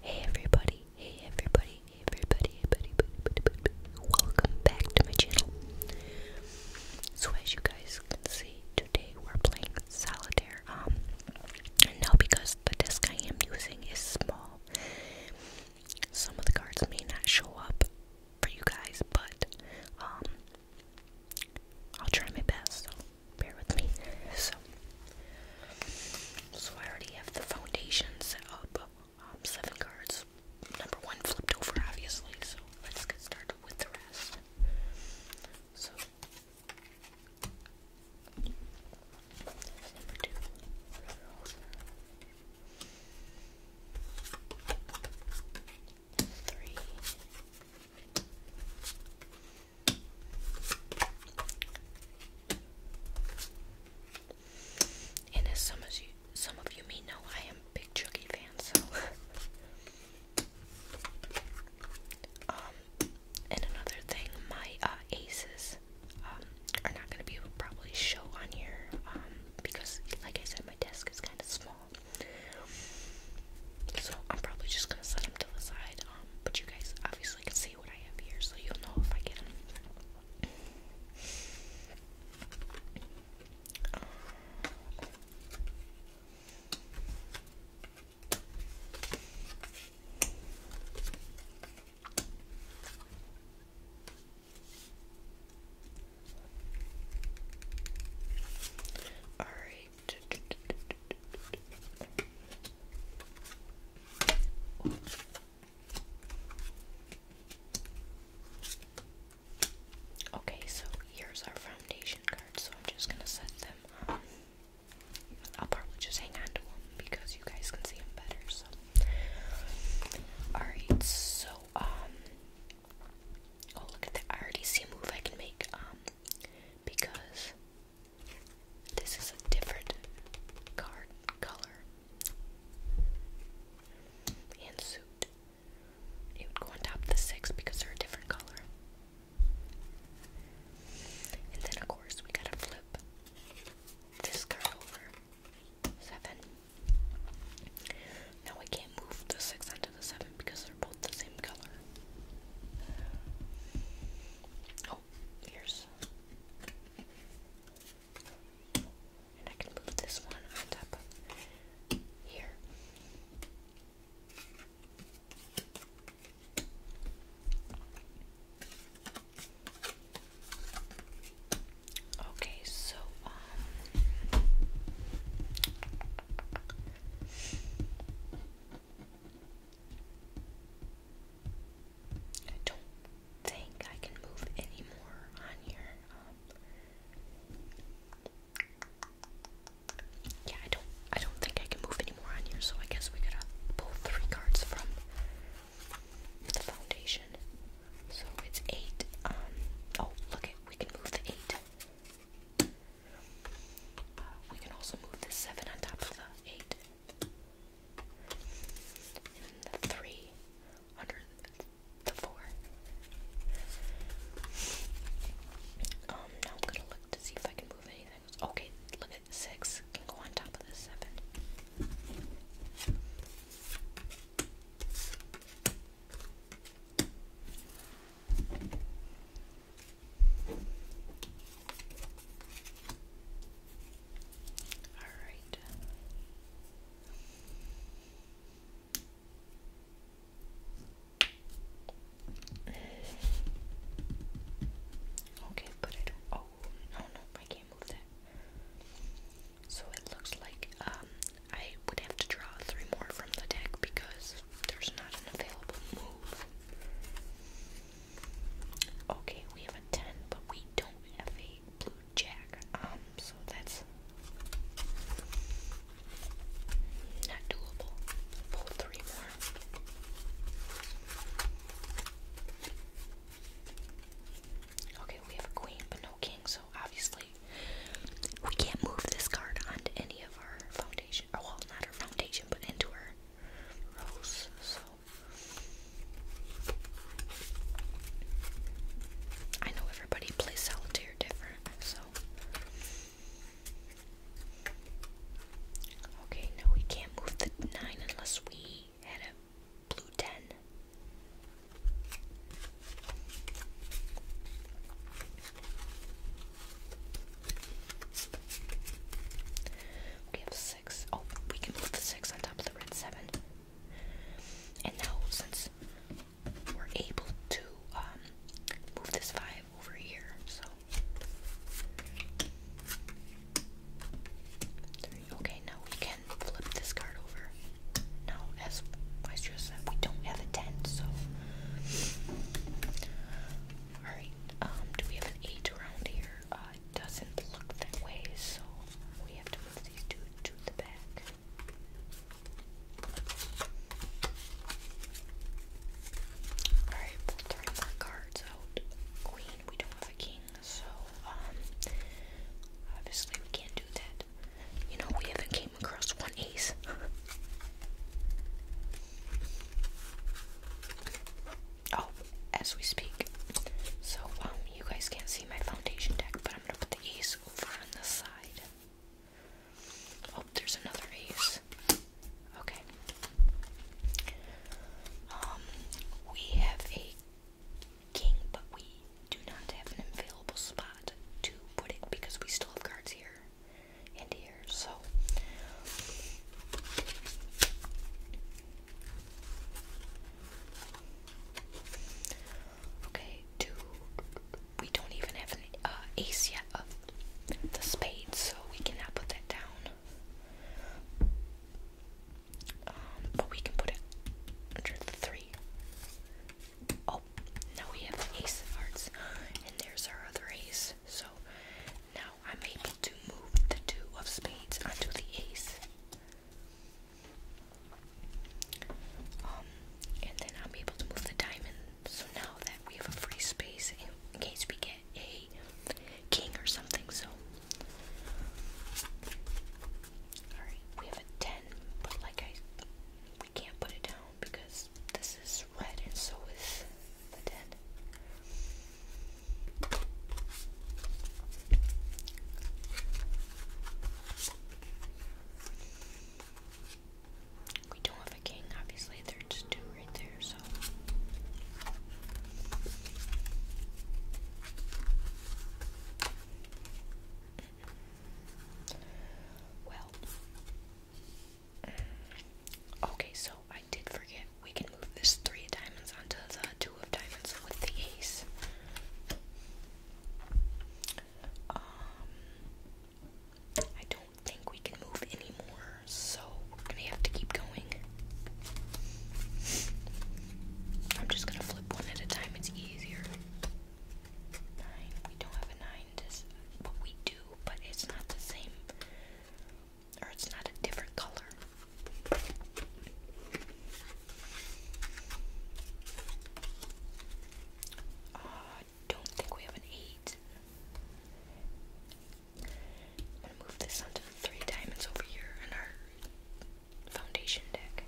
Hey everybody, hey everybody, everybody, everybody, welcome back to my channel. So as you guys can see, today we're playing solitaire. Um, now because the desk I am using is small, some of the cards may not show up for you guys, but um, I'll try my best bear with me. So, so I already have the foundation set up. Um, seven cards. Number one flipped over, obviously. So let's get started with the rest. So, number two. Three, and as some of you, some of you may know, I am a big Chucky fan, so. um, and another thing, my uh, aces um, are not going to be able probably show on here um, because, like I said, my desk is kind of small. So I'm probably just gonna set them to the side. Um, but you guys obviously can see what I have here, so you'll know if I get them. Uh, all right, Okay, so here's our foundation cards, so I'm just gonna set them on. I'll probably just hang on to them because you guys can see them better. So, alright, so, um, oh, look at that. I already see a move I can make, um, because this is a different card color and suit. It would go on top of the six because they're a different color. And then, of course, we gotta flip this card over. Seven. Now we can't move the six onto the 7 because they're both the same color. Oh, here's. And I can move this one on here. Okay, so, um, I don't think I can move anymore on here. Um, yeah, I don't. I don't think I can move any on here. So I guess we gotta pull three cards from the foundation. So it's eight. Um, oh, look We can move the eight. We can also move the 7 on top of the 8. And the 3 under the 4. Um, now I'm gonna look to see if I can move anything. Okay, look at 6. Can go on top of the 7. All right. Okay, but I don't. Oh no, no, I can't move that. So it looks like um I would have to draw three more from the deck because there's not an available move. Okay, we have a 10, but we don't have a blue jack. Um, so that's not doable. Pull three more. Okay, we have a queen, but no king, so obviously we can't move this card onto any of our foundation. Or, oh, well, not our foundation, but into our rose. I know everybody plays solitaire different, so. Okay, no, we can't move the 9 unless we had a blue 10. We have six. Oh, we can put the six on top of the red seven. And now, since we're able to um, move this five over here, so Okay, now we can flip this card over. Now as Vice Chair said, we don't have a tent, so. Alright, um, do we have an 8 around here? Uh, doesn't look that way, so we have to move these two to the back. Alright, pull three more cards out. Queen, we don't have a king, so, um, obviously we can't do that. You know, we have came across one ace. oh, as we speak. So, um, you guys can't see my foundation deck, but I'm gonna put the ace over on the side. Oh, there's another ace. Okay. Um, we have a king, but we do not have an available spot to put it because we still have cards here and here. So okay, do we don't even have an uh, ace yet of the spades, so we cannot put that down. Um, but we can put it under three. Oh, now we have an ace of hearts, and there's our other ace. So now I'm able to move the two of spades onto the ace. Um, and then I'm able to move the diamond. So now that we have a free space in case we get a king or something. So, all right, we have a ten, but like I we can't put it down because this is red and so is the dead. We don't have a king, obviously, there are just two right there, so. Well. Okay, so I did forget. We can move this three diamonds onto the two of diamonds with the ace. Um, I don't think we can move anymore, so we're gonna have to keep going. I'm just gonna flip one at a time, it's easier. Nine. We don't have a nine. This, but we do, but it's not the same, or it's not a different color. Uh, don't think we have an eight. I'm gonna move this onto the three diamonds over here in our foundation deck.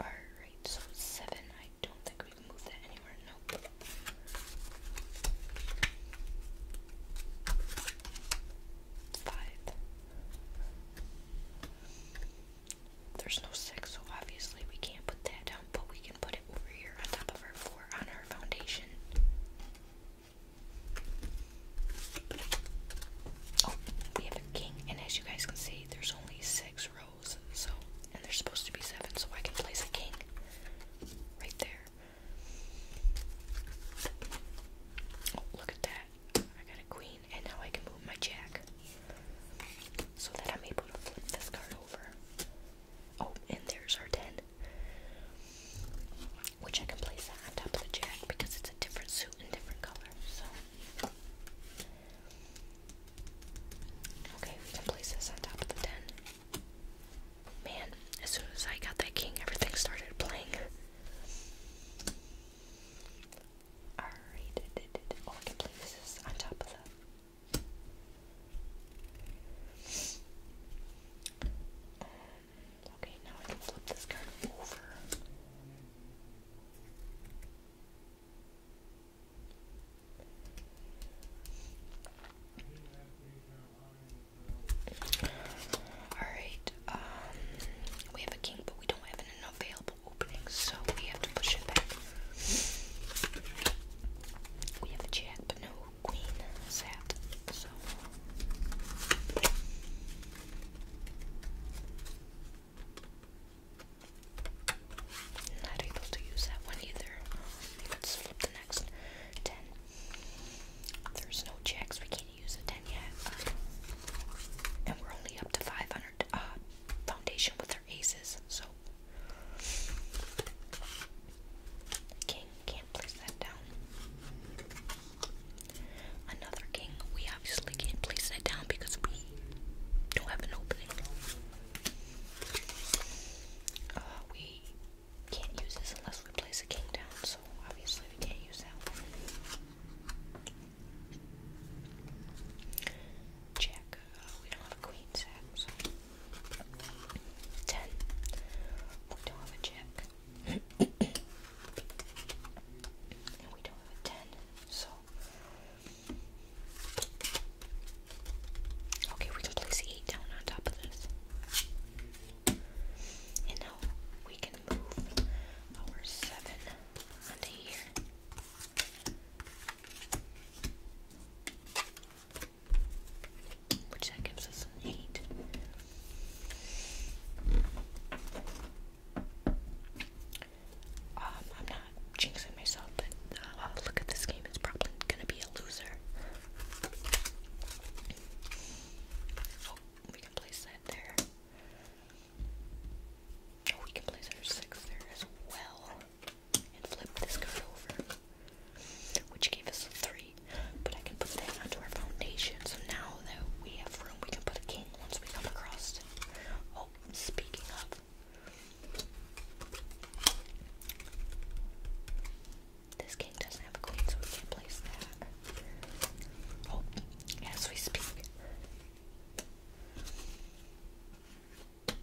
Alright, so seven. I don't think we can move that anywhere. Nope. Five. There's no six, so obviously we can't put that down, but we can put it over here on top of our floor on our foundation. Oh, we have a king, and as you guys can see, there's only six rows, so and there's supposed to be seven, so I can place a king right there. Oh, look at that. I got a queen, and now I can move my jack so that I'm able to flip this card over. Oh, and there's our 10. Which I can place on top of the jacket because it's a different suit and different color. So Okay, we can place this on top of the den. Man, as soon as I got that king, everything started playing. Alright, oh, can place this on top of the okay, now I can flip this card over. Alright, um, we have a king, but we don't have an available opening, so we have to push it back. We have a jack, but no queen sat. So not able to use that one either. let's flip the next ten. There's no jacks. We can't use a ten yet, and we're only up to five hundred uh, foundation with our aces. So King, can't place that down. Another king, we obviously can't place that down because we don't have an opening. Uh, we can't use this unless we place a king down, so obviously we can't use that one. Uh, we don't have a queen set, Ten. We don't have a jack. we don't have a ten, so okay, we can place eight down on top of this. And now we can move our seven onto here which that gives us an 8. Um, I'm not jinxing myself, but uh, look at this game, it's probably gonna be a loser. Oh, we can place that there. Oh, we can place our 6 there as well and flip this card over, which gave us a three. But I can put that onto our foundation, so now that we have room, we can put a king once we come across. Oh, speaking of. This king doesn't have a queen, so we can place that. Oh, as we speak. The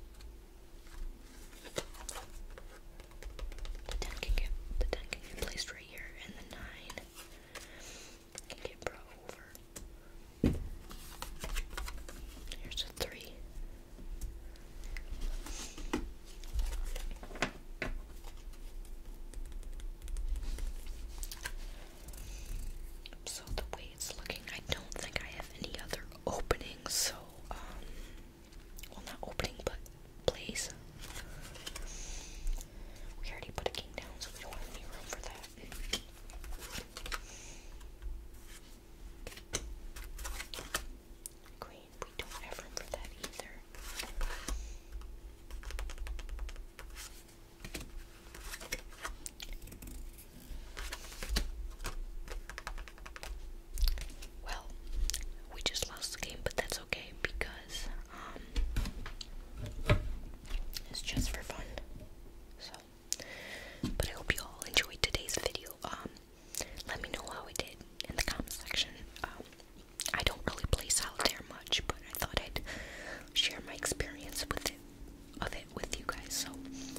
10 can get, the 10 can get placed right here, and the 9 can get brought over. Here's a 3. So the way it's looking, I don't think I have any other openings, so um well not opening but place. We already put a king down so we don't have any room for that. Queen, we don't have room for that either. Well, we just lost the game, but that's okay because um, it's just for fun. So, but I hope you all enjoyed today's video. Um, let me know how it did in the comment section. Um, I don't really play solitaire much, but I thought I'd share my experience with it of it with you guys. So,